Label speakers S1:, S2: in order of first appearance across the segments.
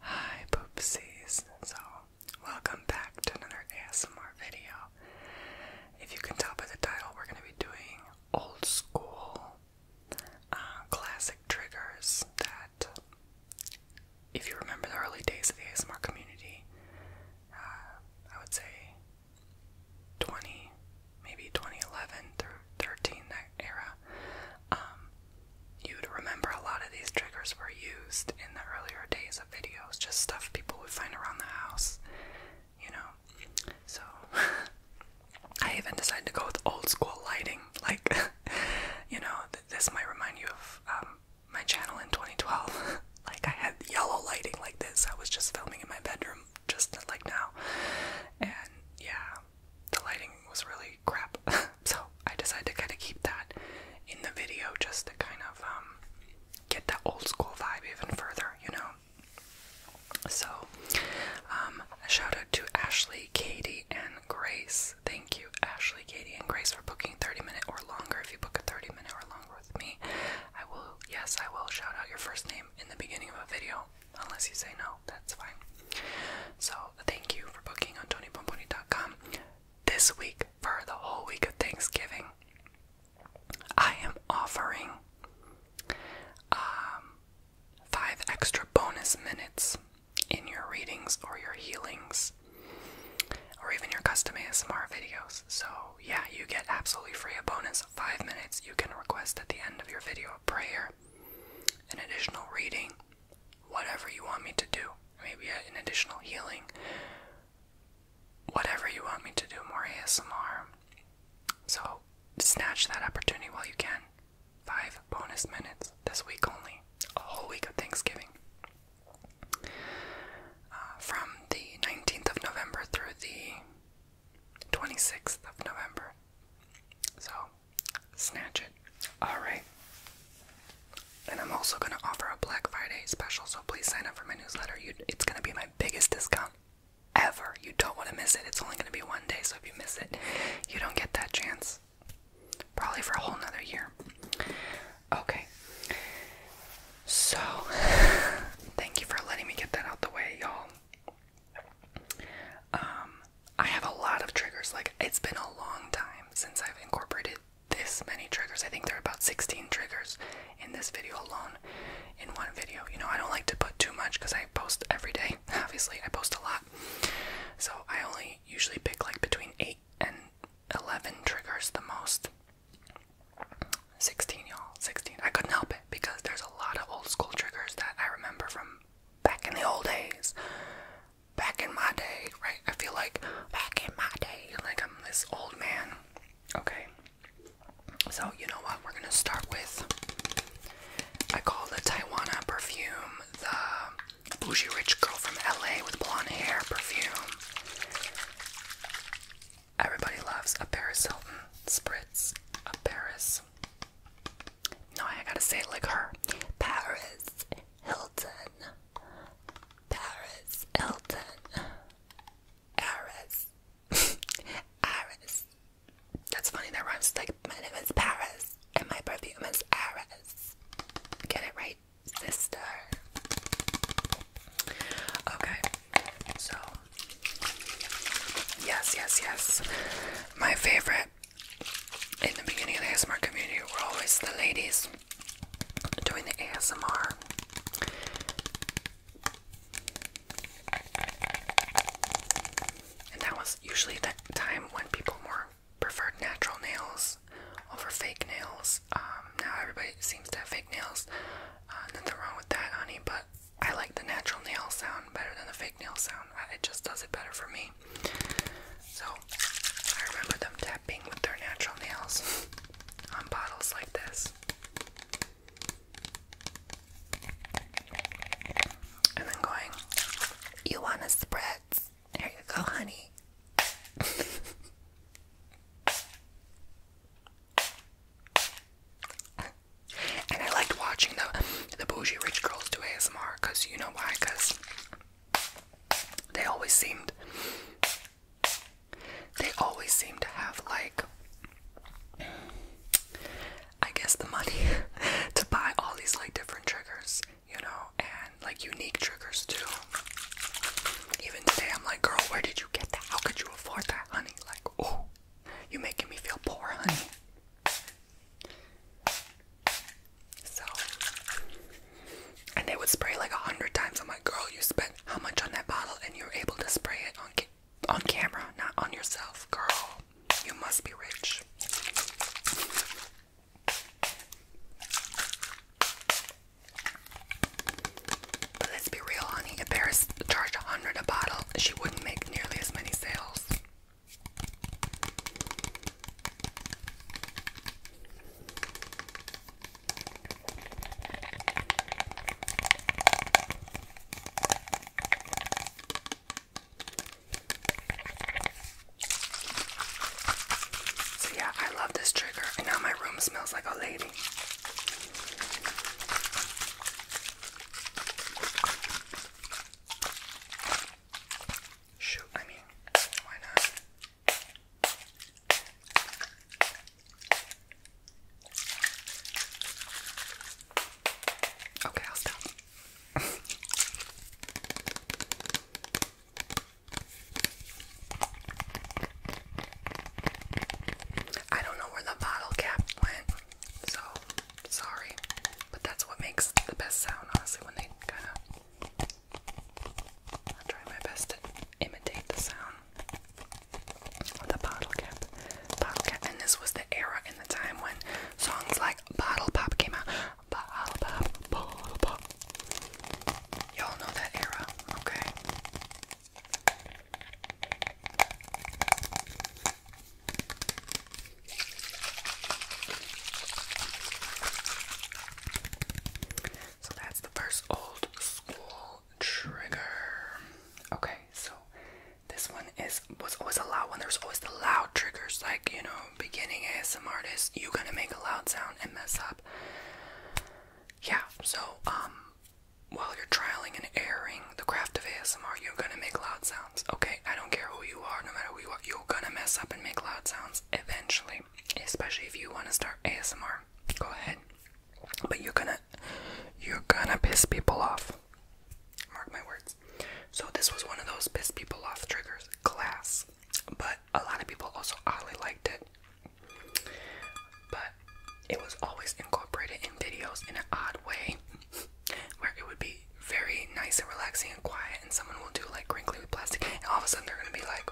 S1: Hi, poopsies. So, welcome back to another ASMR video. If you can tell by the title, we're going to be doing old school uh, classic triggers that, if you remember the early days of the ASMR community, uh, I would say 20, maybe 2011 through 13, era, um, you'd remember a lot of these triggers were used in the earlier days of videos, just stuff people would find around the house, you know. So I even decided to go with old school lighting, like you know, this might remind you of um, my channel in 2012. like I had yellow lighting like this. I was just filming in my bedroom, just like now, and yeah, the lighting was really crap, so I decided to kind of keep that in the video just to kind of um, get that old school vibe even further, you know. So, um, a shout out to Ashley, Katie, and Grace. Thank you, Ashley, Katie, and Grace, for booking 30 minute or longer. If you book a 30 minute or longer with me, I will, yes, I will shout out your first name in the beginning of a video unless you say no, that's fine. So thank you for booking on TonyPomponi.com this week for the whole week of Thanksgiving. I am offering um, five extra bonus minutes in your readings or your healings or even your custom ASMR videos. So, yeah, you get absolutely free a bonus five minutes. You can request at the end of your video a prayer an additional reading, whatever you want me to do. Maybe an additional healing, whatever you want me to do, more ASMR. So snatch that opportunity while you can. Five bonus minutes this week only, a whole week of Thanksgiving. Uh, from the 19th of November through the 26th of November. So Snatch it. Alright. And I'm also gonna offer a Black Friday special, so please sign up for my newsletter. it's gonna be my biggest discount ever. You don't wanna miss it. It's only gonna be one day, so if you miss it, you don't get that chance. Probably for a whole nother year. Okay. So, thank you for letting me get that out the way, y'all. Um, I have a lot of triggers. Like, it's been a long time since I've incorporated this many triggers. I think there are about 16 triggers in this video alone, in one video. You know, I don't like to put too much because I post every day. Obviously, I post a lot. So I only usually pick like between 8 and 11 triggers the most. 16, y'all. 16. I couldn't help it because there's a lot of old school triggers that I remember from back in the old days, back in my day, right? I feel like back in my day, like I'm this old man. Okay. So, you know what? We're going to start with I call the Taiwana perfume the bougie rich girl from LA with blonde hair perfume. Everybody loves a Paris Hilton spritz. A Paris no, I gotta say it like her. Paris Hilton. Paris Hilton. Paris. Paris. That's funny, that rhymes like my name is Paris and my perfume is Aris. Get it right, sister. Okay, so yes, yes, yes. My favorite in the beginning of the ASMR community were always the ladies doing the ASMR. And that was usually the time when people more preferred natural nails over fake nails. Um, now everybody seems to have fake nails. Uh, nothing wrong with that, honey, but I like the natural nail sound better than the fake nail sound. Uh, it just does it better for me. So I remember them tapping with their natural nails on bottles like this. And then going, You want a spritz? There you go, honey. And I liked watching the the bougie rich girls do ASMR because you know why? Because they always seemed they always seem to have like I guess the money to buy all these like different triggers, you know, and like unique triggers too. Even today I'm like, girl, where did you get that? How could you afford that, honey? Like, oh, you are making me feel poor, honey. So, and they would spray like a hundred times. I'm like, girl, you spent how much on that bottle, and you're able to spray it on on camera, not on yourself, girl. You must be rich. But let's be real, honey. If Paris charged a hundred a bottle, she wouldn't make nearly as many sales. So, yeah, I love this trigger, and now my room smells like a lady. Shoot, I mean, why not? Okay, I'll stop. I don't know where the bottle cap went, so Sorry. But that's what makes the best sound, honestly, when they kind of. I'll try my best to imitate the sound with a bottle cap. Bottle cap. And this was the era in the time when songs like Bottle Pop came out. Bottle Pop, Bottle Pop. Y'all know that era, okay? So that's the first old school trigger. Okay, so this one is was always a loud one. There's always the loud triggers, like you know, beginning ASMR. artist, you are gonna make a loud sound and mess up. Yeah, so um while you're trialing and erring the craft of ASMR, you're gonna make loud sounds Okay, I don't care who you are, no matter what, you are, you're gonna mess up and make loud sounds eventually. Especially if you wanna start ASMR. Go ahead. But you're gonna you're gonna piss people off. Mark my words. So this was one of those piss people off triggers. Class. But a lot of people also oddly liked it. But it was always incorporated in videos in an odd way. where it would be very nice and relaxing and quiet, and someone will do like crinkly with plastic, and all of a sudden they're gonna be like.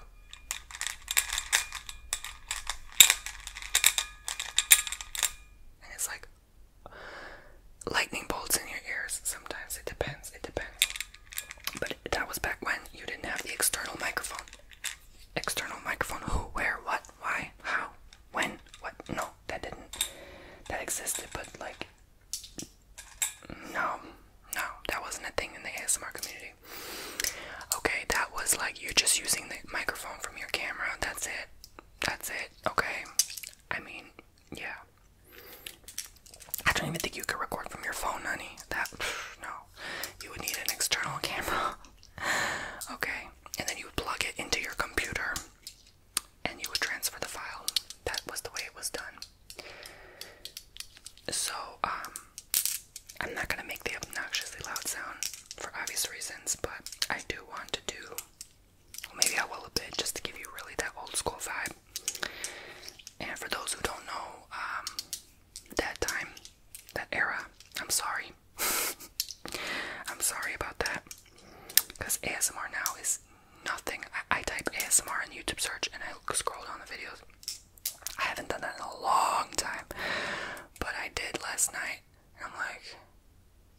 S1: And it's like lightning bolts in your ears. Sometimes it depends, it depends. But that was back when you didn't have the external microphone. External microphone who, where, what, why, how, when, what. No, that didn't. That existed, but like no, no, that wasn't a thing in the ASMR community. Okay, that was like you're just using the microphone from your camera. That's it. That's it. Okay. I mean, yeah. I don't even think you could record from your phone, honey. That, no. You would need an external camera. Okay, and then you plug it into your computer and you would transfer the file. That was the way it was done. So, um, I'm not gonna make the obnoxiously loud sound for obvious reasons, but I do want to do, well, maybe I will a bit just to give you really that old school vibe. And for those who don't know, um, that time, that era, I'm sorry. I'm sorry about that. Because ASMR now is nothing. I, I type ASMR in YouTube search and I scroll down the videos. I haven't done that in a long time, but I did last night, I'm like,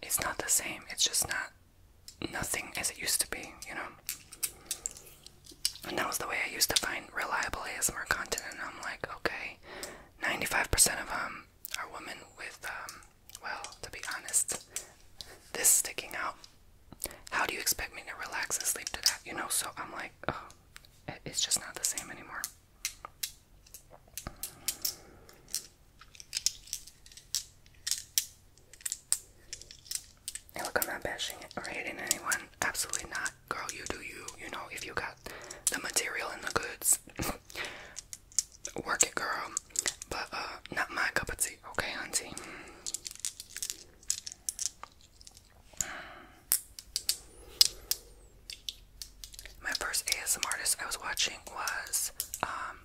S1: it's not the same. It's just not nothing as it used to be, you know. And that was the way I used to find reliable ASMR content, and I'm like, okay, 95% of them um, are women with um, well, to be honest, this sticking out. How do you expect me to relax and sleep to that? You know, so I'm like, oh, it's just not the same anymore. And look, I'm not bashing or hating anyone. Absolutely not. Girl, you do you. You know, if you got the material and the goods, Work it, girl. But uh, not my cup of tea, okay, auntie? My first ASM artist I was watching was um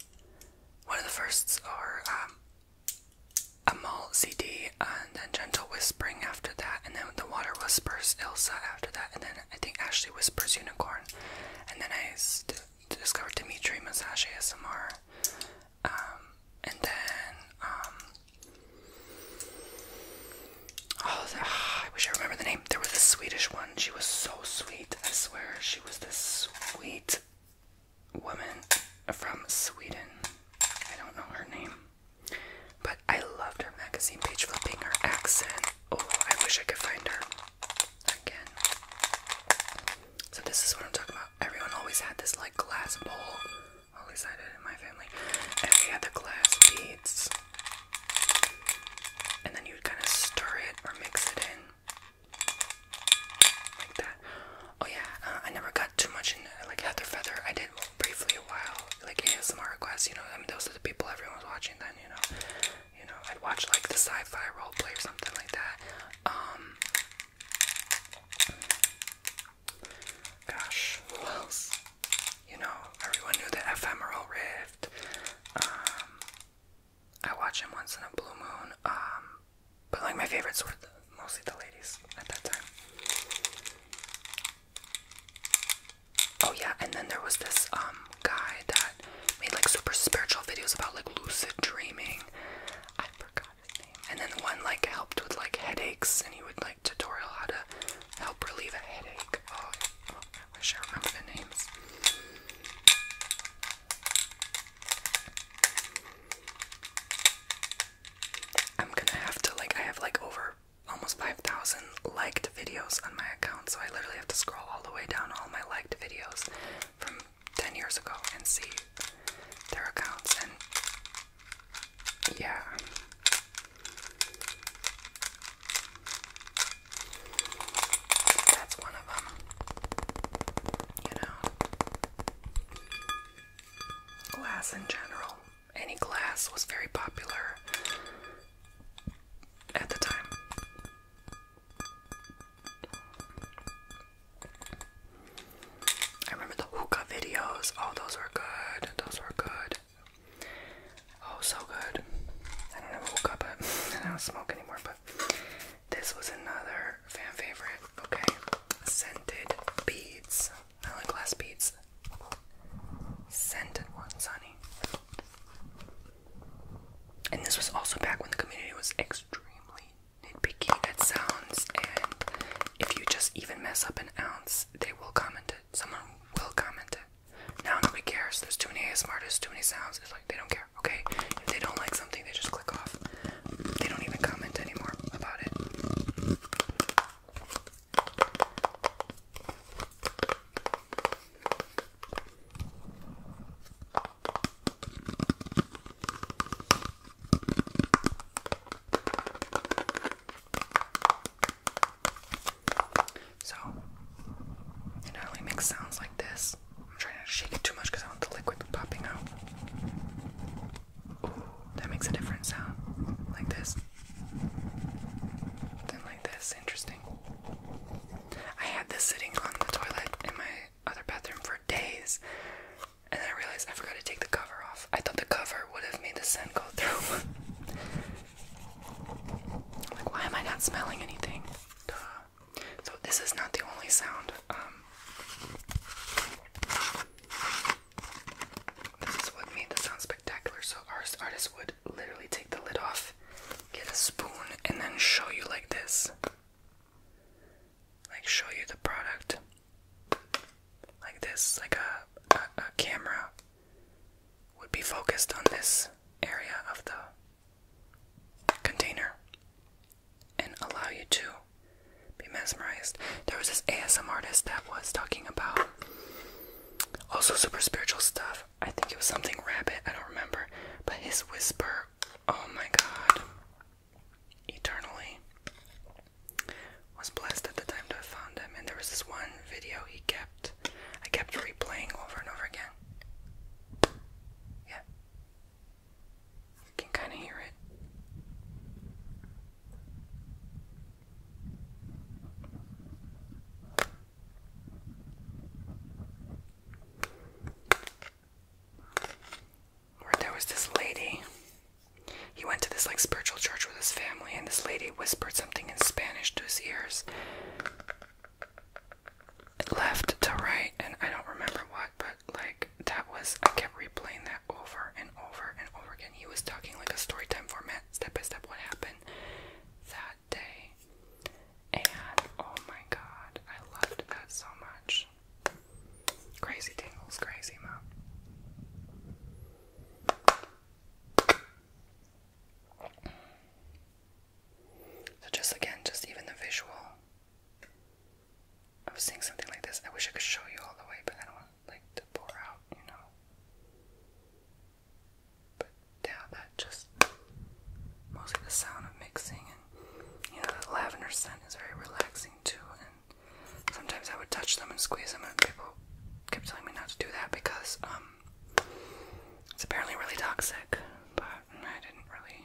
S1: one of the firsts or um Amal CD and then Gentle Whispering after that and then The Water Whispers Elsa after that and then I think Ashley Whispers Unicorn and then I discovered Dimitri Massage ASMR. Um, and then, um, oh, I wish I remember the name. There was a Swedish one. She was so sweet. I swear, she was this sweet woman from Sweden. I don't know her name, but I loved her magazine page flipping. Her accent. Oh, I wish I could find her again. So this is what I'm talking about. Everyone always had this like glass bowl. always had it in my family. And they had the glass beads. And then you would kind of stir it or mix it in. Like that. Oh yeah, uh, I never got too much in like Heather Feather. I did briefly a while. Like ASMR requests, you know. I mean, those are the people everyone was watching then, you know you know, I'd watch like the sci-fi role play or something like that. Um gosh, who else? You know, everyone knew the ephemeral rift. Um I watch him once in a blue moon. Um, but like my favorites were the, mostly the ladies at that time. Oh yeah, and then there was this um guy that made like super spiritual videos about like lucid dreaming. I forgot his name. And then one like helped with like headaches, and he would like tutorial how to help relieve a headache. oh I wish I remember the names. I'm gonna have to like I have like over almost 5,000 liked videos on my account, so I literally have to scroll all the way down all my liked videos from 10 years ago and see their accounts and yeah that's one of them you know glass in general any glass was very popular at the time I remember the hookah videos. Oh, those were good. Those were good. Oh, so good. I don't have hookah, but I don't smoke anymore. But this was another fan favorite. Okay, scented beads, I like glass beads. Scented ones, honey. And this was also back when the community was extremely nitpicky at sounds, and if you just even mess up an ounce, they will comment it. Someone will comment it. Now nobody cares. There's too many ASMRs, too many sounds. It's like they don't care. Okay, if they don't like something, they just click off. They don't even comment anymore about it. So, it only makes sounds like this. I'm trying to shake it too much because I want the liquid popping out. Ooh, that makes a different sound. Like this. Then like this. Interesting. I had this sitting on the toilet in my other bathroom for days. And I realized I forgot to take the cover off. I thought the cover would have made the scent go through. like, why am I not smelling anything? So this is not the only sound. Um, this is what made the sound spectacular. So our artist would literally take the lid off, get a spoon, and then show you like this like show you the product like this like a, a, camera would be focused on this area of the container and allow you to be mesmerized there was this asm artist that was talking about also super spiritual stuff i think it was something rabbit i don't remember but his whisper Oh my God. Eternally was blessed at the time to have found him, and there was this one video he kept. I kept replaying over and over again. Yeah. You can kind of hear it. Where there was this lady. He went to this like spiritual church with his family, and this lady whispered something in Spanish to his ears. Left to right, and I don't remember what, but like that was I kept replaying that over and over and over again. He was talking like a story time format, step by step, what happened that day. And oh my god, I loved that so much. Crazy tingles, crazy mom. So just again, just even the visual of seeing something like this. I wish I could show you all the way, but I don't want like to pour out, you know. But yeah, that just mostly the sound of mixing and you know the lavender scent is very relaxing too and sometimes I would touch them and squeeze them and people kept telling me not to do that because um it's apparently really toxic but I didn't really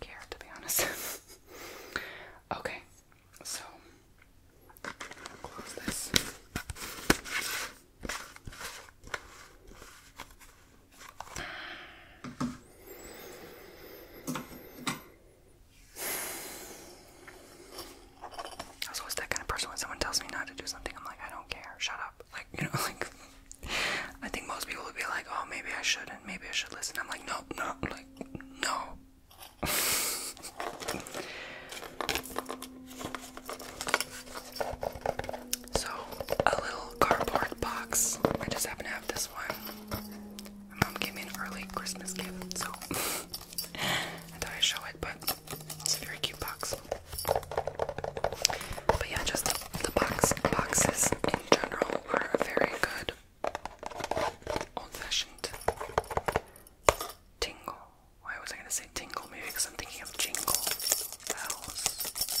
S1: care to be honest. okay, so close this. I was always that kind of person when someone tells me not to do something, I'm like, I don't care, shut up. Like, you know, like, I think most people would be like, oh, maybe I should and maybe I should listen. I'm like, no, no, like, no. So, a little cardboard box. I just happen to have this one. My mom gave me an early Christmas gift, so I thought I'd show it, but it's a very cute box. But yeah, just the, the box boxes in general are very good. Old-fashioned tingle. Why was I gonna say tingle? Maybe because I'm thinking of jingle bells.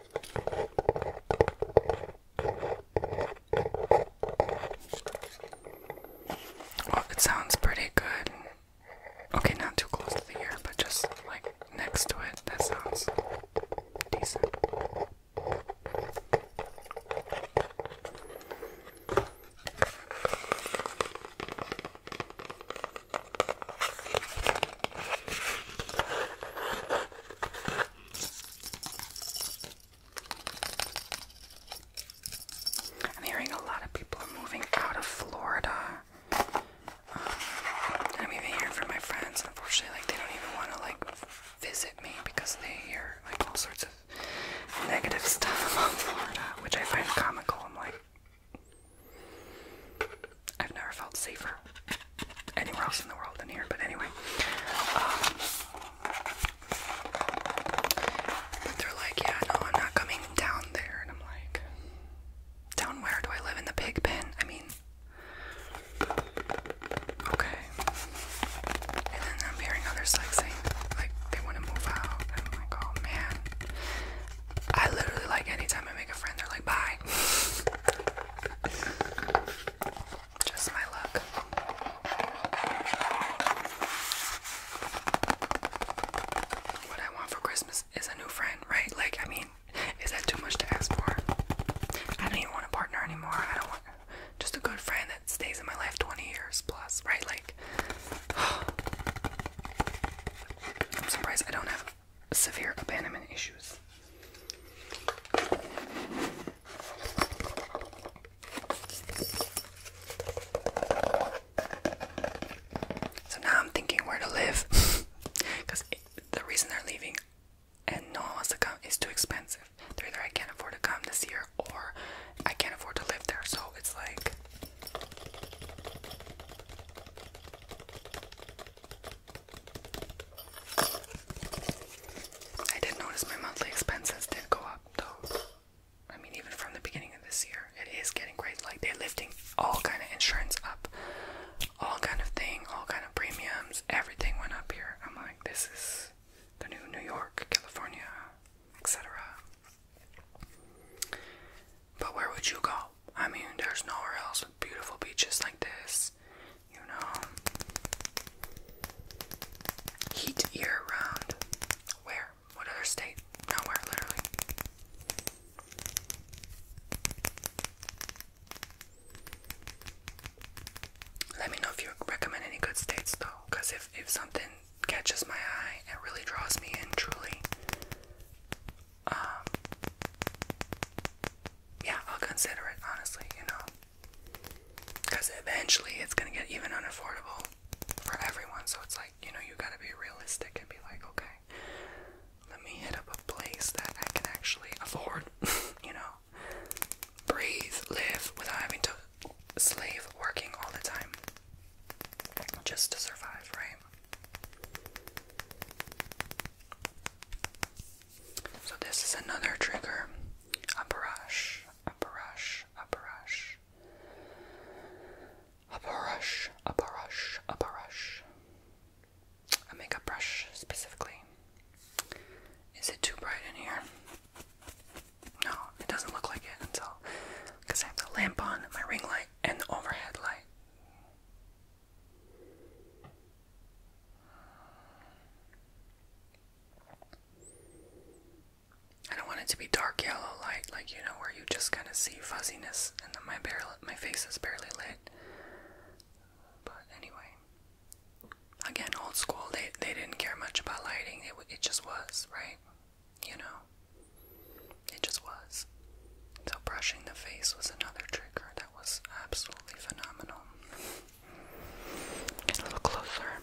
S1: it sounds pretty good. Okay, not too close to the ear, but just like next to it, that sounds decent. I'm hearing a lot of people are moving out of Florida. Um, I'm even hearing from my friends, unfortunately, like they don't even want to like visit me because they hear like all sorts of negative stuff about Florida, which I find comical. I'm like, I've never felt safer anywhere else in the world than here, but anyway. Um, but they're like, yeah, no, I'm not coming down there. And I'm like, down where? Do I live in the pig pen? I mean, okay. And then I'm hearing others like saying, like, they want to move out. And I'm like, oh man. I literally, like, anytime I make a friend, they're like, bye. Just my luck. What I want for Christmas is a new friend, right? Like, I mean, is that too much to ask for? I don't even want a partner anymore. I don't want just a good friend that stays in my life 20 years plus, right? Like, I'm surprised I don't have severe abandonment issues. So now I'm thinking where to live because the reason they're leaving and no one to come is too expensive. They're either I can't afford to come this year or I can't afford to live there. So it's like I did notice my monthly expenses did go up though. I mean, even from the beginning of this year, it is getting great. Like they're lifting all kind of insurance up, all kind of thing, all kind of premiums. Everything went up here. I'm like, this is the new New York, California, etc. But where would you go? I mean, there's nowhere else with beautiful beaches like this, you know. Heat year round. Where? What other state? Nowhere, literally. Let me know if you recommend any good states though, because if, if something catches my eye and really draws me in truly, um, yeah, I'll consider it honestly, you know, because eventually it's gonna get even unaffordable for everyone. So it's like, you know, you gotta be realistic and be like, okay, let me hit up a place that I can actually afford, you know, breathe, live without having to slave working all the time just to survive, right? So this is another trigger. A brush, a brush, a brush. A brush, a brush, a brush. A makeup brush specifically. Is it too bright in here? No, it doesn't look like it until because I have the lamp on, my ring light, and the overhead light. I don't want it to be dark yellow light, like you know, where you just kind of see fuzziness, and then my barely, my face is barely lit. But anyway, again, old school. They they didn't care much about lighting. It it just was right, you know. It just was. So, brushing the face was another trigger that was absolutely phenomenal. Get a little closer.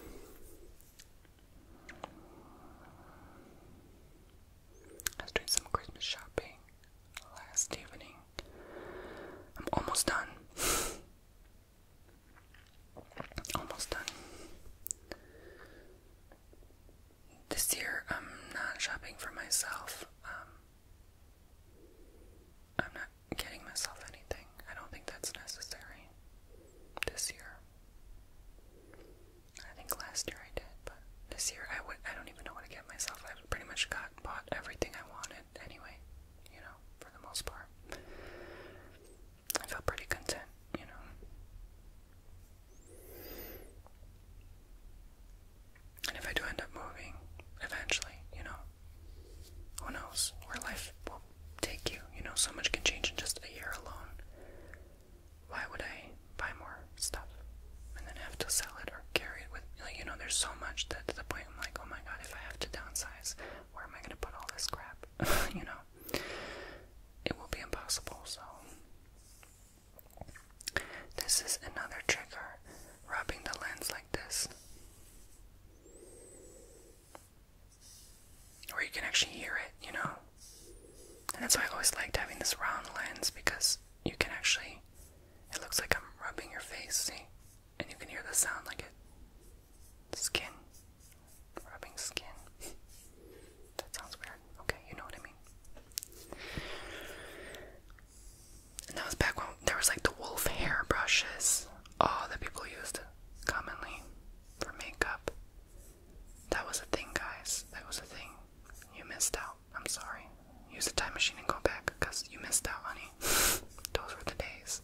S1: I was doing some Christmas shopping last evening. I'm almost done. almost done. This year, I'm not shopping for myself. Um, I'm not getting myself anything. I don't think that's necessary this year. I think last year I did, but this year I would I don't even know what to get myself. I've pretty much got bought everything I wanted anyway, you know, for the most part. I feel pretty content, you know. And if I do end up moving, eventually, you know, who knows where life will take you? You know, so much can change in just a year alone. Why would I buy more stuff and then have to sell it or carry it with? Like, you know, there's so much that to the point I'm like, oh my god, if I have to downsize, where am I going to put all this crap? you know, it will be impossible. So, this is another trigger, rubbing the lens like this. where you can actually hear it, you know? And that's why I always liked having this round lens because you can actually, it looks like I'm rubbing your face, see? And you can hear the sound like it. Skin. Rubbing skin. that sounds weird. Okay, you know what I mean. And that was back when there was like the wolf hair brushes. Oh, that people used commonly for makeup. That was a thing, guys. That was a thing. You missed out. I'm sorry. Use the time machine and go back because you missed out, honey. Those were the days.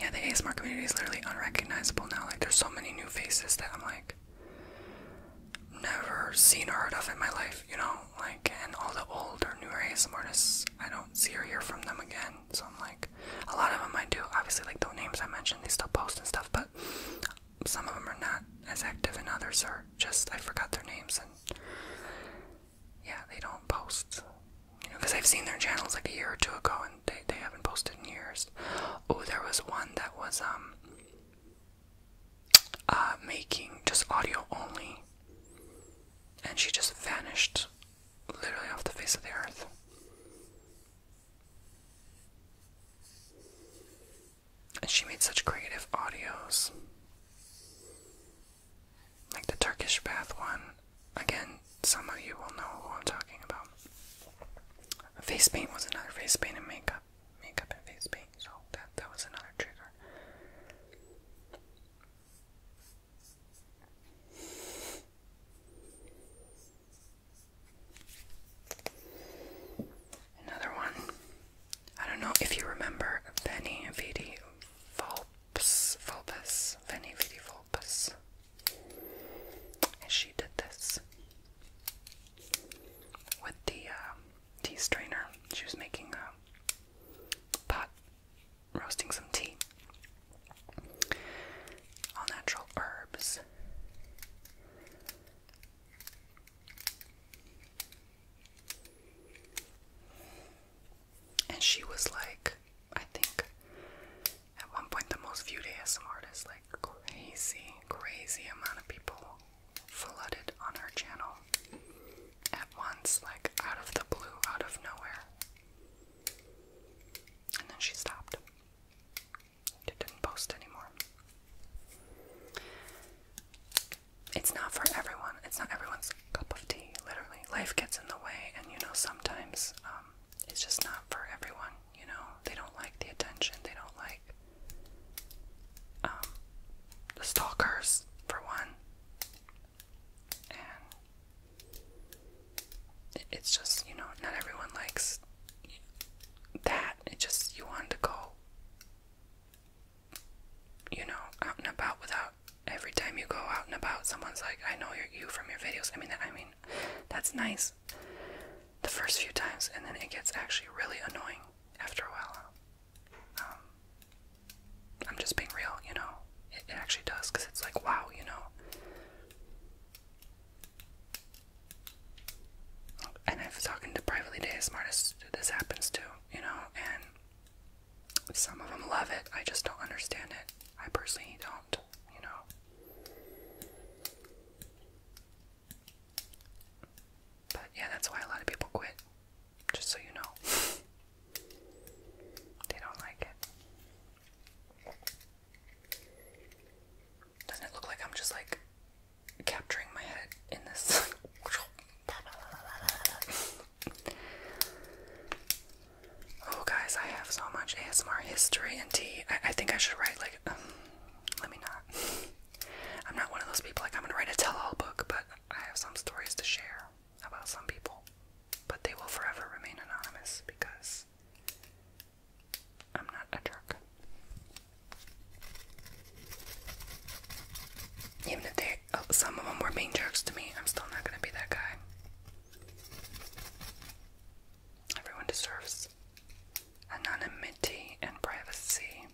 S1: Yeah, the ASMR community is literally unrecognizable now. Like, there's so many new faces that I'm like, never seen or heard of in my life, you know? Like, and all the old or newer ASMR artists, I don't see or hear from them again. So I'm like, a lot of them I do. Obviously, like the names I mentioned, they still post and stuff, but some of them are not as active, and others are just, I forgot their names, and yeah, they don't post. You know, because I've seen their channels like a year or two ago, and they they haven't posted in years. Oh, there was one that was um uh making just audio only, and she just vanished, literally off the face of the earth. And she made such creative audios like the Turkish bath one. Again, some of you will know who I'm talking about. Face paint was another face paint and makeup, makeup and face paint. So that that was another trigger. Another one. I don't know if you remember Benny Vidi Volpe. Vulpes, Vulpes, Vulpes. she did this with the um, tea strainer. She was making a um, pot, roasting some tea. All natural herbs. And she was like, I think at one point the most viewed ASM artist, like crazy, crazy amount of people flooded on her channel at once, like out of the blue, out of nowhere. And then she stopped. It didn't post anymore. It's not for everyone. It's not everyone's just a cup of tea. Literally, life gets in the way, and you know, sometimes um, it's just not for everyone. You know, they don't like the attention, they don't like um, the stalkers, for one. And it, it's just, you know, not everyone likes that. It just, you want to go. You know, out and about without every time you go out and about someone's like i know you from your videos i mean i mean that's nice the first few times and then it gets actually really annoying after a while um, i'm just being real you know it, actually does because it's like wow you know and i've talking to privately day smartest this happens too you know and some of them love it. I just don't understand it. I personally don't, you know. But yeah, that's why a lot of people quit. Just so you know. they don't like it. Doesn't it look like I'm just like capturing my head in this? Oh, guys, I have so much ASMR history and tea. I, think I should write, like, um, let me not. I'm not one of those people, like, I'm gonna write a tell all book, but I have some stories to share about some people. But they will forever remain anonymous because I'm not a jerk. Even if they, uh, some of them were being jerks to me, I'm still not gonna be that guy. Everyone deserves anonymity and privacy.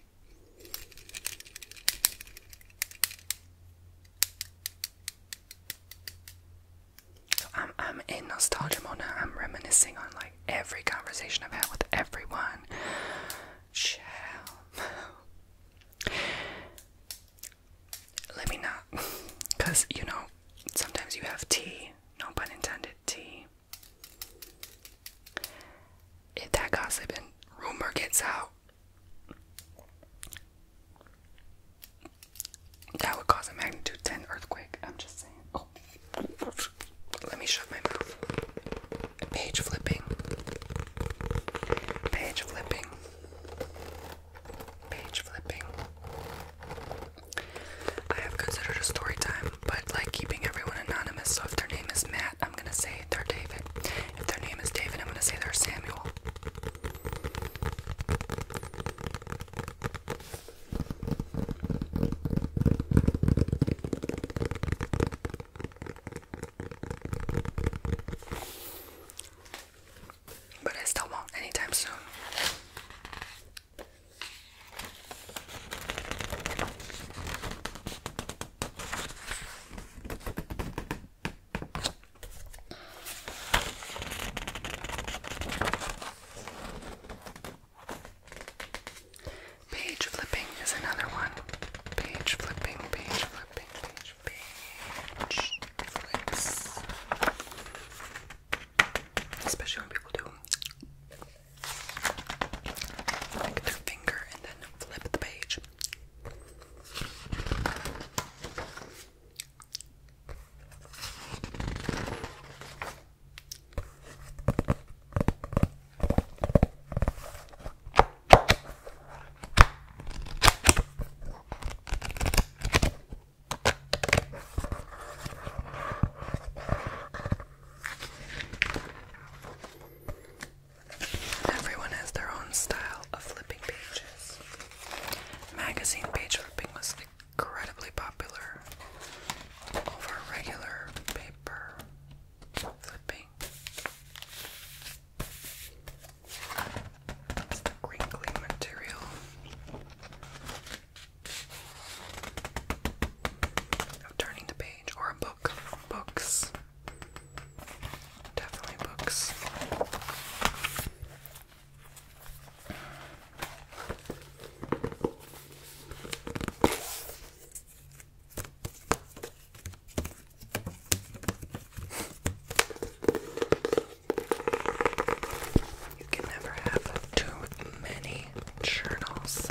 S1: I'm I'm in nostalgia mode I'm reminiscing on like every conversation I've had with everyone. Chill let me not because you know sometimes you have tea no pun intended tea if that gossip and rumor gets out that would cause a magnitude 10 earthquake i'm just saying oh. let me shut my mouth page flipping page flipping page flipping. I have considered a story time, but like keeping everyone anonymous, so if their name is Matt, I'm gonna say they're David. If their name is David, I'm gonna say they're Samuel. But I still won't anytime soon. Page flipping is another one. Page flipping, page flipping, page page flips. Especially when people do like their finger and then flip the page. Everyone has their own style of flipping pages. Magazine page flipping was incredibly popular over regular paper flipping the crinkly material. Of turning the page or a book. Books. Definitely books. You can never have too many journals.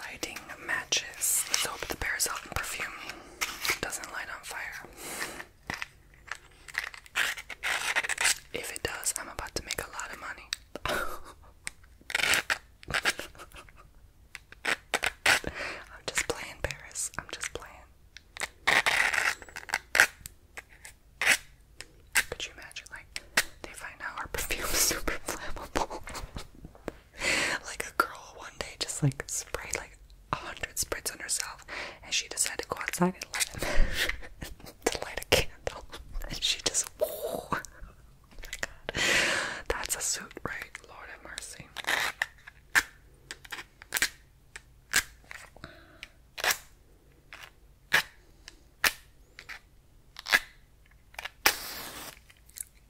S1: Lighting matches. Let's hope the bear's out perfume. doesn't light on fire. If it does, I'm about to make a lot of money. I'm just playing, Paris. I'm just playing. Could you imagine, like, they find out our perfume's super flammable? like, a girl one day just, like, sprayed, like, a hundred spritz on herself, and she decided to go outside and light, to light a candle, and she just, oh my god, that's a suit, right? Lord have mercy.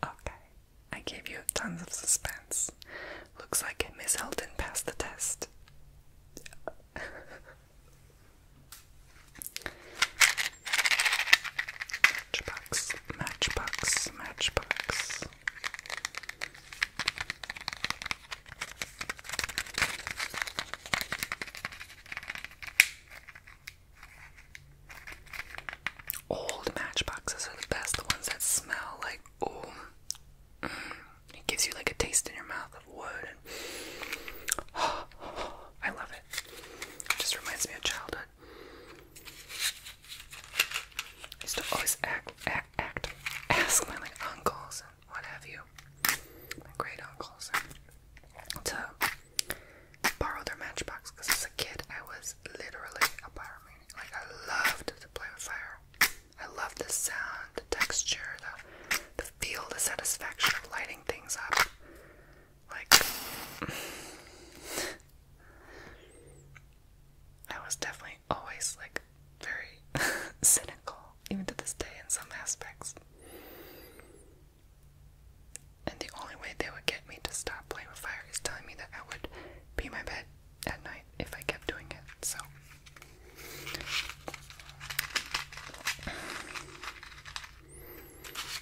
S1: Okay, I gave you tons of suspense. Looks like Miss Elden passed the test. matchbox, matchbox, matchbox. Old matchboxes are the best, the ones that smell like oh it gives you like a taste in your mouth of wood I love it. it. Just reminds me of childhood. I used to always act ask my like uncles and what have you, great uncles, to borrow their matchbox because as a kid I was literally a pyromaniac. Like I loved to play with fire. I loved the sound, the texture, the the feel, the satisfaction of lighting things up. Like I was definitely always like very cynical, even to this day in some aspects. And the only way they would get me to stop playing with fire is telling me that I would pee my bed at night if I kept doing it. So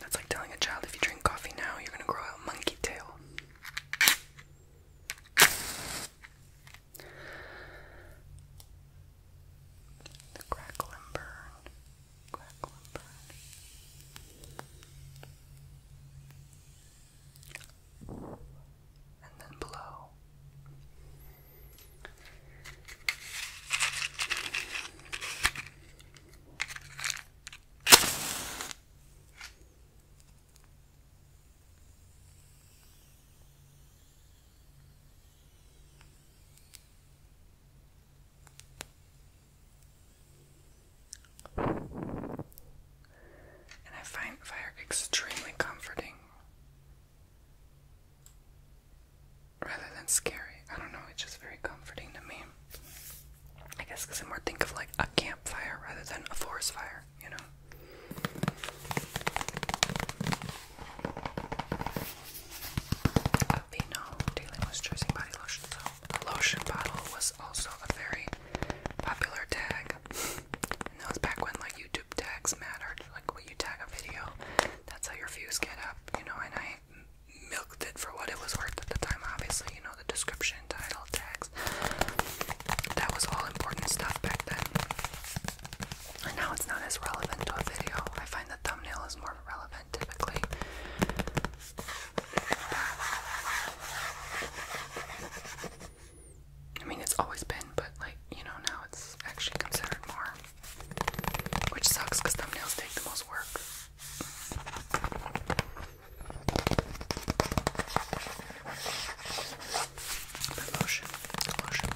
S1: that's like telling a child if you drink coffee now, you're gonna grow out monkey tail. The crackle and burn. Crackle and burn. And then blow. And I find fire extremely comforting rather than scary. I don't know, it's just very comforting to me. I guess because I more think of like a campfire rather than a forest fire you know. I've been body lotion, so the lotion bottle was also a very popular tag. And that back when like YouTube tags mattered, like when you tag a video, that's how your views get up, you know. And I milked it for what it was worth at the time. Obviously, you know the description, title, tags. That was all important stuff back then. And now it's not as relevant to a video. I find the thumbnail is more relevant typically. I mean, it's always been, but like, you know, now it's actually considered more. Which sucks because thumbnails take the most work. But lotion, lotion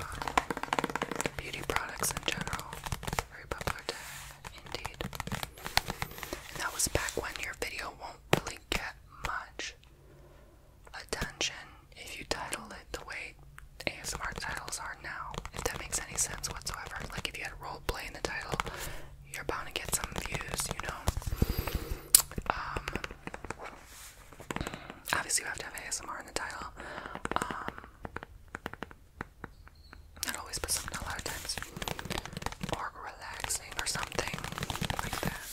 S1: beauty products in general, very indeed. And that was back when your video won't really get much attention if you title it the way ASMR titles are now, if that makes any sense whatsoever. Like if you had roleplay in the title, you're bound to get some views, you know. Um Obviously, you have to have ASMR in the title. Um, not always, but a lot of times. Or relaxing or something like that.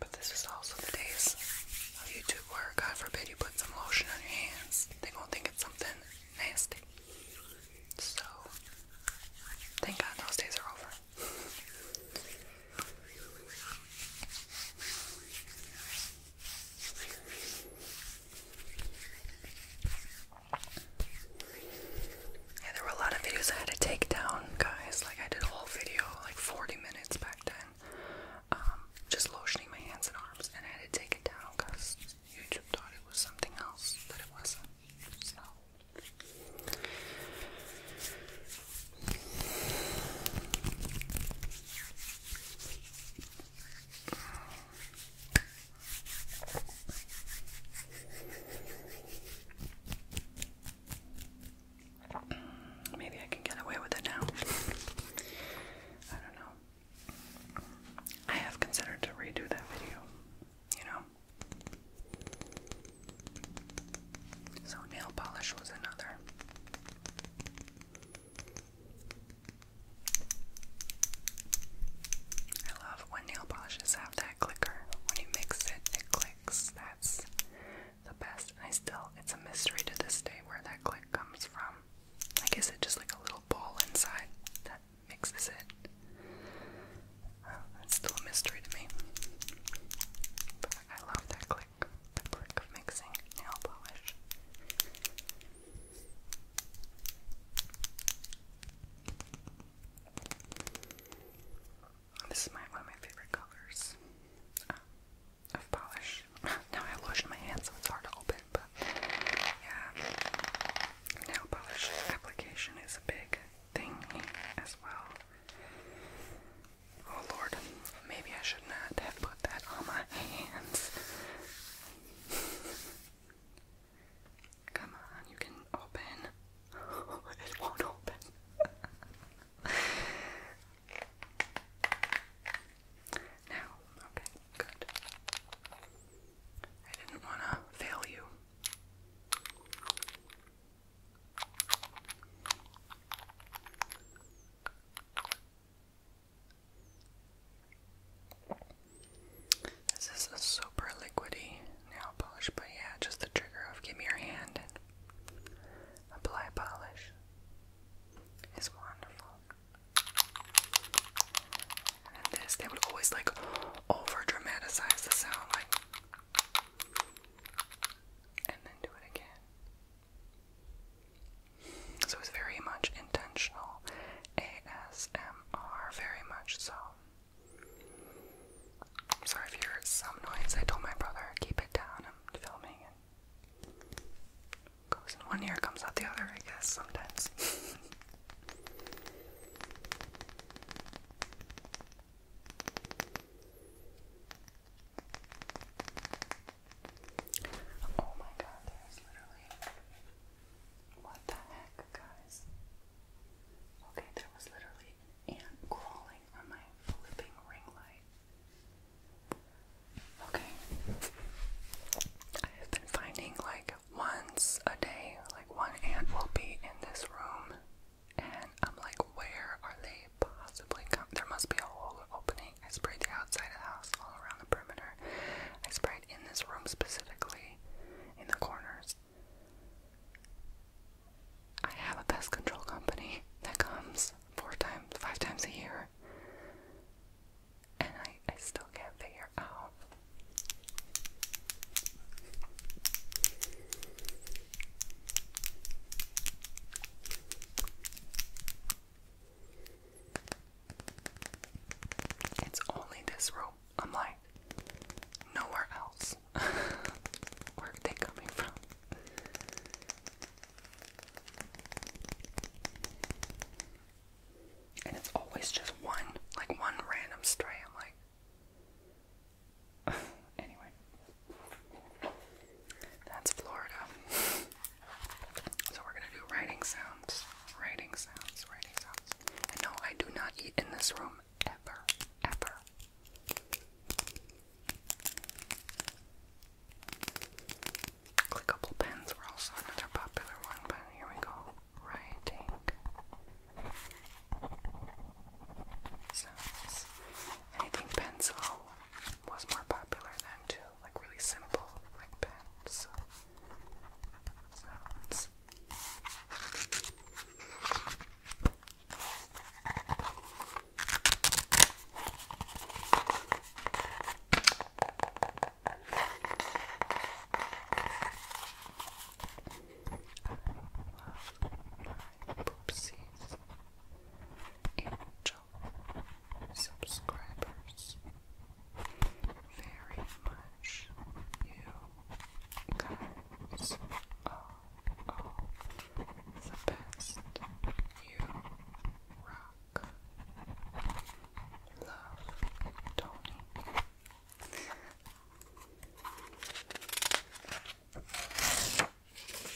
S1: But this is also the days of YouTube where, God forbid, you put some lotion on your hands. They won't think it's something nasty. So, thank God those days are over. Yeah, there were a lot of videos I had to take down, guys. Like, I did a whole video, like 40 minutes back then, um, just lotioning my hands and arms, and I had to take it down because YouTube thought it was something else, but it wasn't. Maybe I can get away with it now. I don't know. I have considered to redo that video, you know. So, nail polish was another. I love when nail polishes have that clicker. When you mix it, it clicks. That's the best. I still, it's a mystery to this day where that click comes from. I guess it's just like a little ball inside that mixes it. It's still a mystery to me. But I love that click, the mixing nail polish. This is one of my favorite colors uh, of polish. now I lotion my hand so it's hard to open, but yeah, nail polish application is a big thing as well. Oh lord, maybe I should not have put that on my hands. Come on, you can open. it won't open. now, okay, good. I didn't want to fail you. This is a super liquidy nail polish, but yeah, just the trigger of give me your hand apply polish is wonderful. And this, they would always like over dramatize the sound, like and then do it again. So it's very much intentional ASMR, very much so. sorry if you hear some noise. I told my brother, keep it down. I'm filming goes in one ear, comes out the other, I guess, sometimes. Oh my god, there's literally. What the heck, guys? Okay, there was literally an ant crawling on my flipping ring light. Okay. I have been finding like once a day, like one ant will be in this room and I'm like, where are they possibly come? There must be a hole opening. I sprayed the outside of the house, all around the perimeter. I sprayed in this room specifically, in the corners. I have a pest control company that comes four times, five times a year, and I, I still can't figure out. It's only this rope. I'm like, nowhere else. Where are they coming from? And it's always just one, like one random stray. I'm like, anyway, that's Florida. so we're gonna do writing sounds, writing sounds, writing sounds. no, I do not eat in this room ever, ever. Clickable pens were also another popular one, but here we go. Writing sounds. And I think pencil was more popular then too, like really simple, like pencil sounds. Poopsies, Angel, subscribers, very much you guys are all the best. You rock. Love, Tony. Let it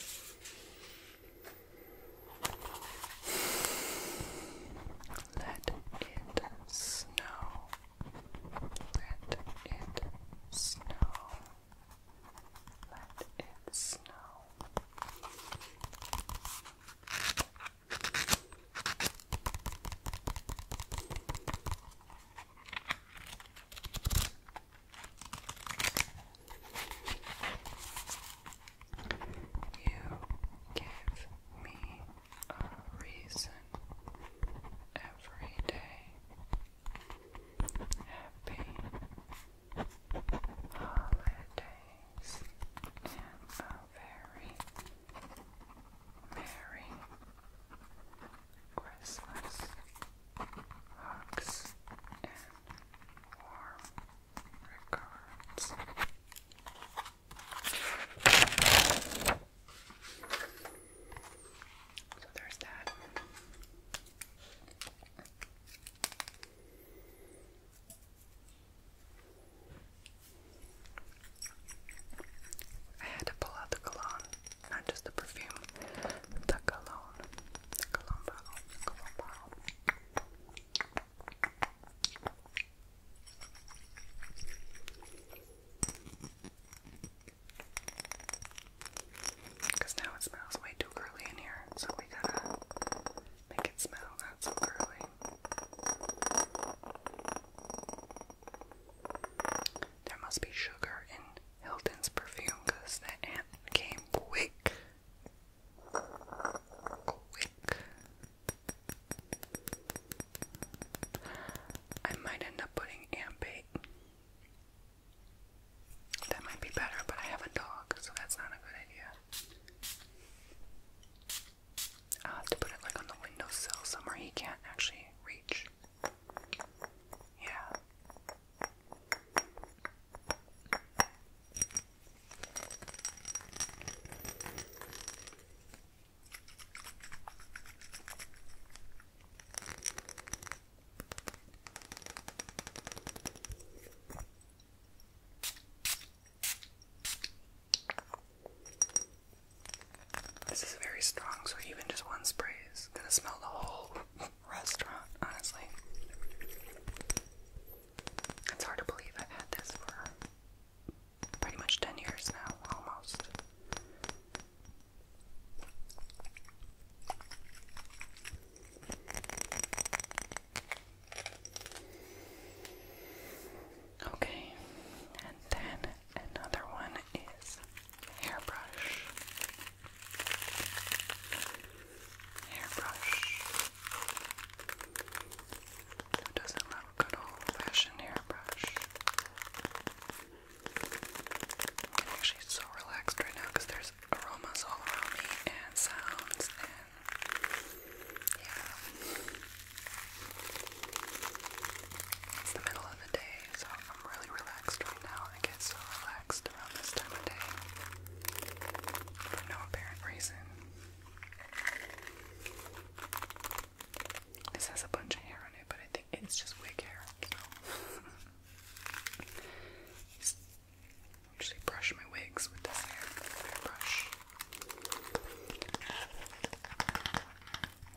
S1: snow. Let it snow. Let it snow. You give me a reason every day. Happy holidays and a very merry restless, hugs, and warm regards. So there's that. I had to pull out the cologne not just the perfume, the cologne, Because now it smells way too girly in here, so we gotta make it smell not so girly. There must be sugar in Hilton's perfume because that ant came quick. Quick. I might end up putting ant bait. That might be better, but I have a dog, so that's not a good idea. I'll have to put it like on the windowsill somewhere he can't actually reach. Yeah. This is very strong, so even just one spray is gonna smell the whole restaurant, honestly. It's hard to believe I've had this for pretty much 10 years now, almost. Okay, and then another one is hairbrush, hairbrush. doesn't love good old-fashioned hairbrush? I'm actually so relaxed right now because there's aromas all around me and sounds and yeah. It's the middle of day, so I'm really relaxed right now. I get so relaxed around this time of day for no apparent reason. This has a bunch of hair on it, but I think it's just wig hair. So. Actually, brush my wigs with this hairbrush.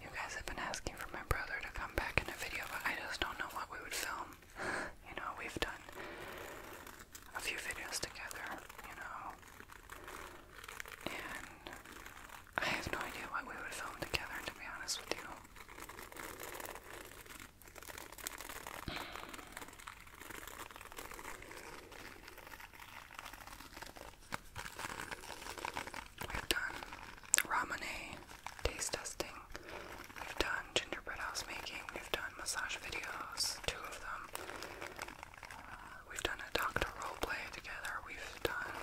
S1: You guys have been asking for my brother to come back in a video, but I just don't know what we would film. you know, we've done a few videos together, you know, and I have no idea what we would film together, to be honest with you. We've done ramune taste testing. We've done gingerbread house making. We've done massage videos, two of them. Uh, we've done a doctor role play together. We've done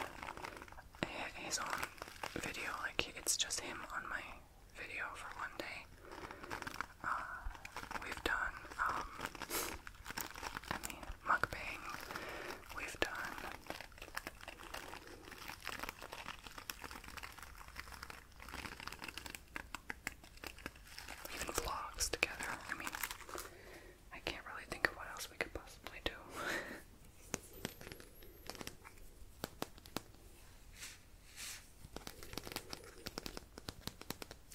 S1: his own video. Like it's just him on my video for one day. Uh, we've done, I um, mean, mukbang. We've done. Even vlogs together. I mean, I can't really think of what else we could possibly do.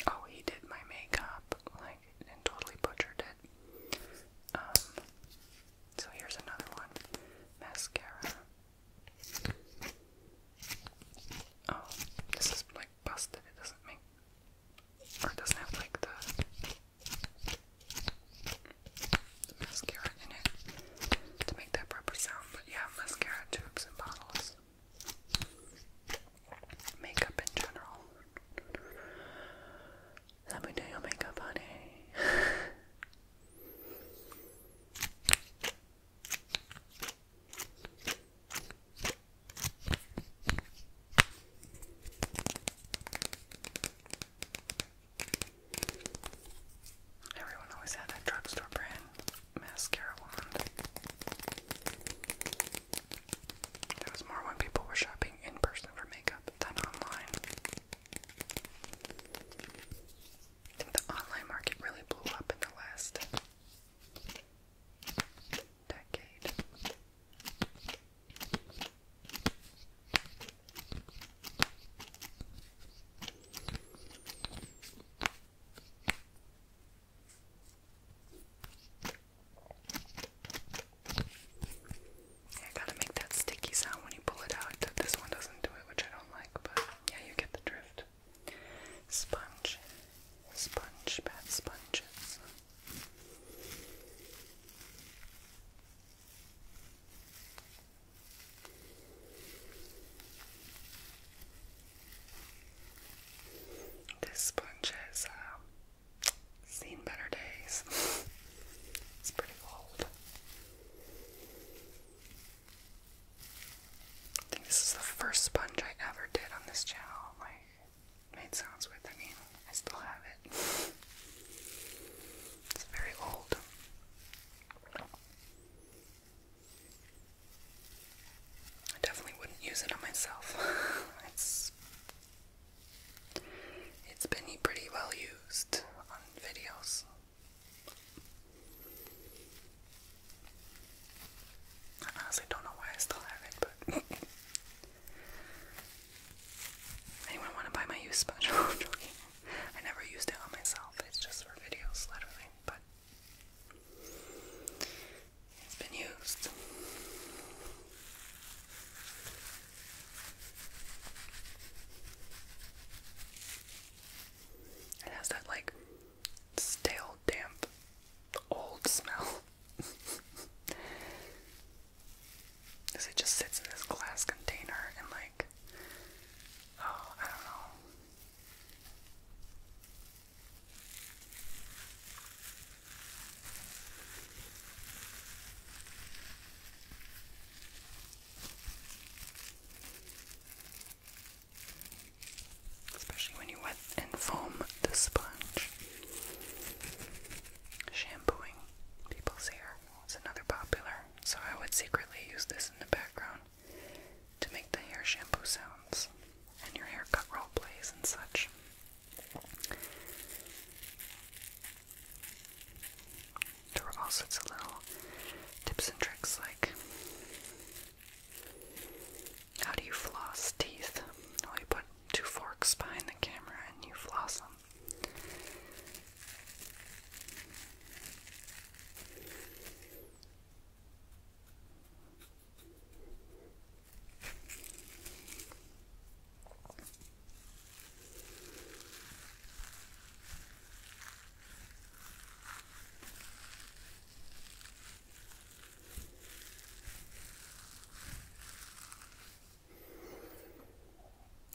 S1: Oh, he did my makeup, like, and totally butchered it. Um, so here's another one mascara. Oh, this is like busted, it doesn't make, or doesn't have like the, mascara to make that proper sound. But yeah, mascara tubes and bottles. Makeup in general. Let me do your makeup, honey. Everyone always had that drugstore brand mascara wand. There was more when people were shopping in person for makeup than online. I think the online market really blew up in the last decade. I gotta make that sticky sound when you pull it out. This one doesn't do it, which I don't like, but yeah, you get the drift. Sponge, sponge, bad sponges. This sponge has um, seen better days. it's pretty old. I think this is the first sponge I ever did on this channel. Like, made sounds with. I mean, I still have it. It's very old. I definitely wouldn't use it on myself. it's it's been pretty well used on videos. I honestly don't know why I still have it, but anyone want to buy my use special? I never used it on myself. It's just for videos, literally. But it's been used. It has that like stale, damp, old smell. Because it just sits in this glass container and like, oh, I don't know. Especially when you wet and foam the sponge. Shampooing people's hair is another popular, so I would secretly use this in the background to make the hair shampoo sounds and your haircut role plays and such. There are all sorts of little tips and tricks like how do you floss teeth? Well, you put two forks behind the camera and you floss them.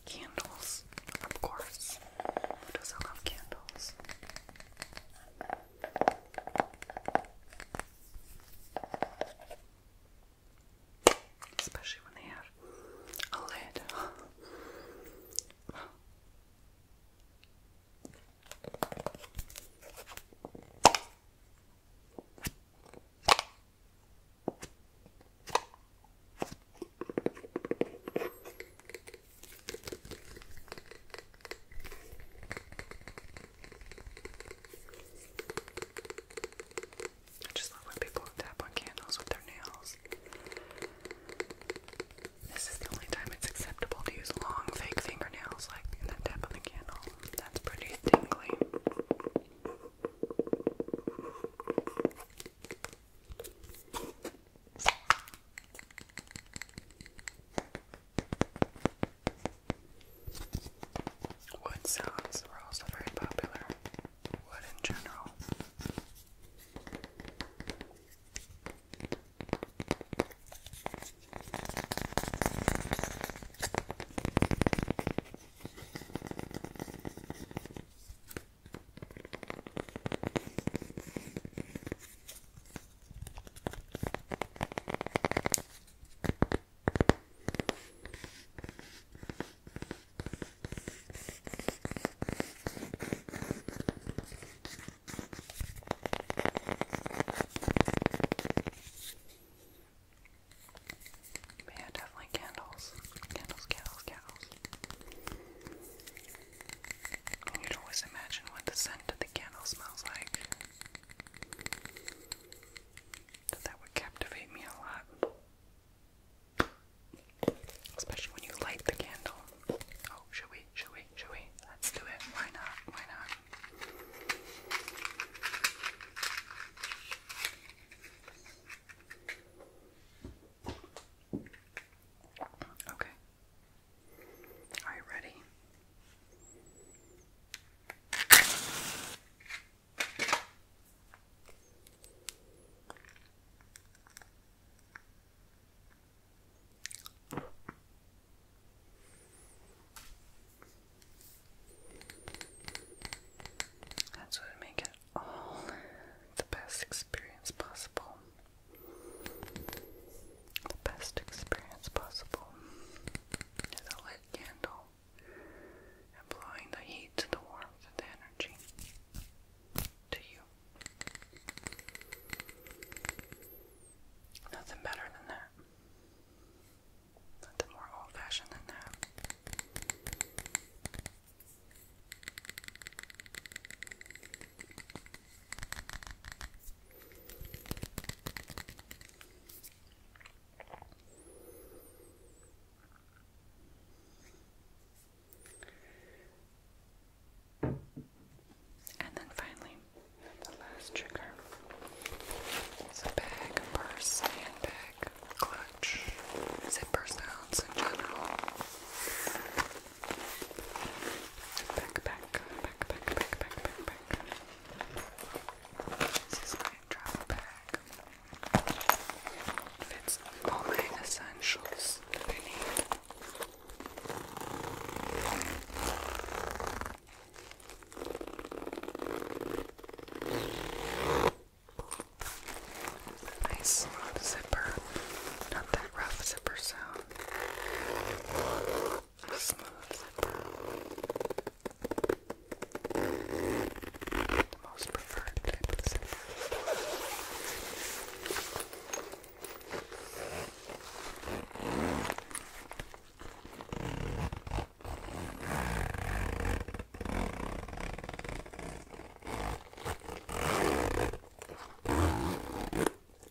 S1: Candles, of course. doesn't love candles? Especially when they have a lid. I just love when people tap on candles with their nails. This is the only time it's acceptable to use long, fake fingernails, like in that tap on the candle. That's pretty tingly. Wood sounds were also very popular. Wood in general. Yeah, definitely candles. Candles, candles, candles. You can always imagine what the scent of the candle smells like. that would captivate me a lot. Especially when you light the candle. Oh, should we? Should we? Should we? Let's do it. Why not? Why not? Okay. Are you ready? That's what would it all the best experience possible the best experience possible is a lit candle employing the heat the warmth the energy to you. Nothing better than that. Nothing more old fashioned than that. And then finally, the last trigger is a bag, purse, handbag, clutch, zipper sounds in general. Back, back, back, back, back, back, back, back. This is my travel bag. Fits all my essentials that I need. Nice zipper, not that rough zipper sound smooths it down. The most preferred type of simple.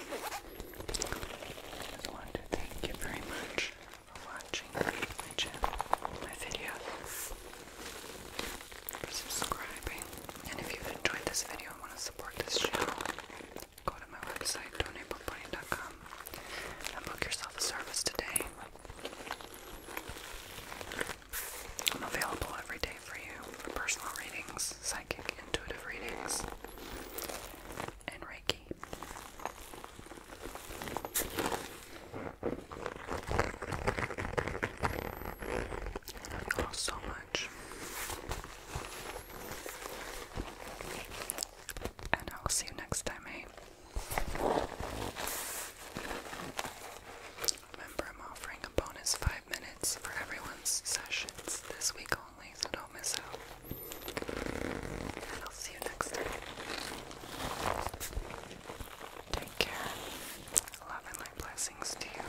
S1: I just wanted to thank you very much for watching my channel, my videos, for subscribing. And if you've enjoyed this video and want to support this channel, go to my website, donatebumpbunny.com, and book yourself a service today. I'm available every day for you for personal readings psychic intuitive readings, and Reiki. all oh, so much. And I'll see you next time, eh? Remember, I'm offering a bonus five minutes for everyone sessions this week only, so don't miss out. I'll see you next time. Take care. Love and light blessings to you.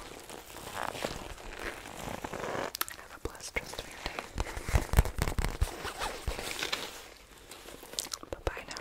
S1: have a blessed rest of your day. Bye bye now.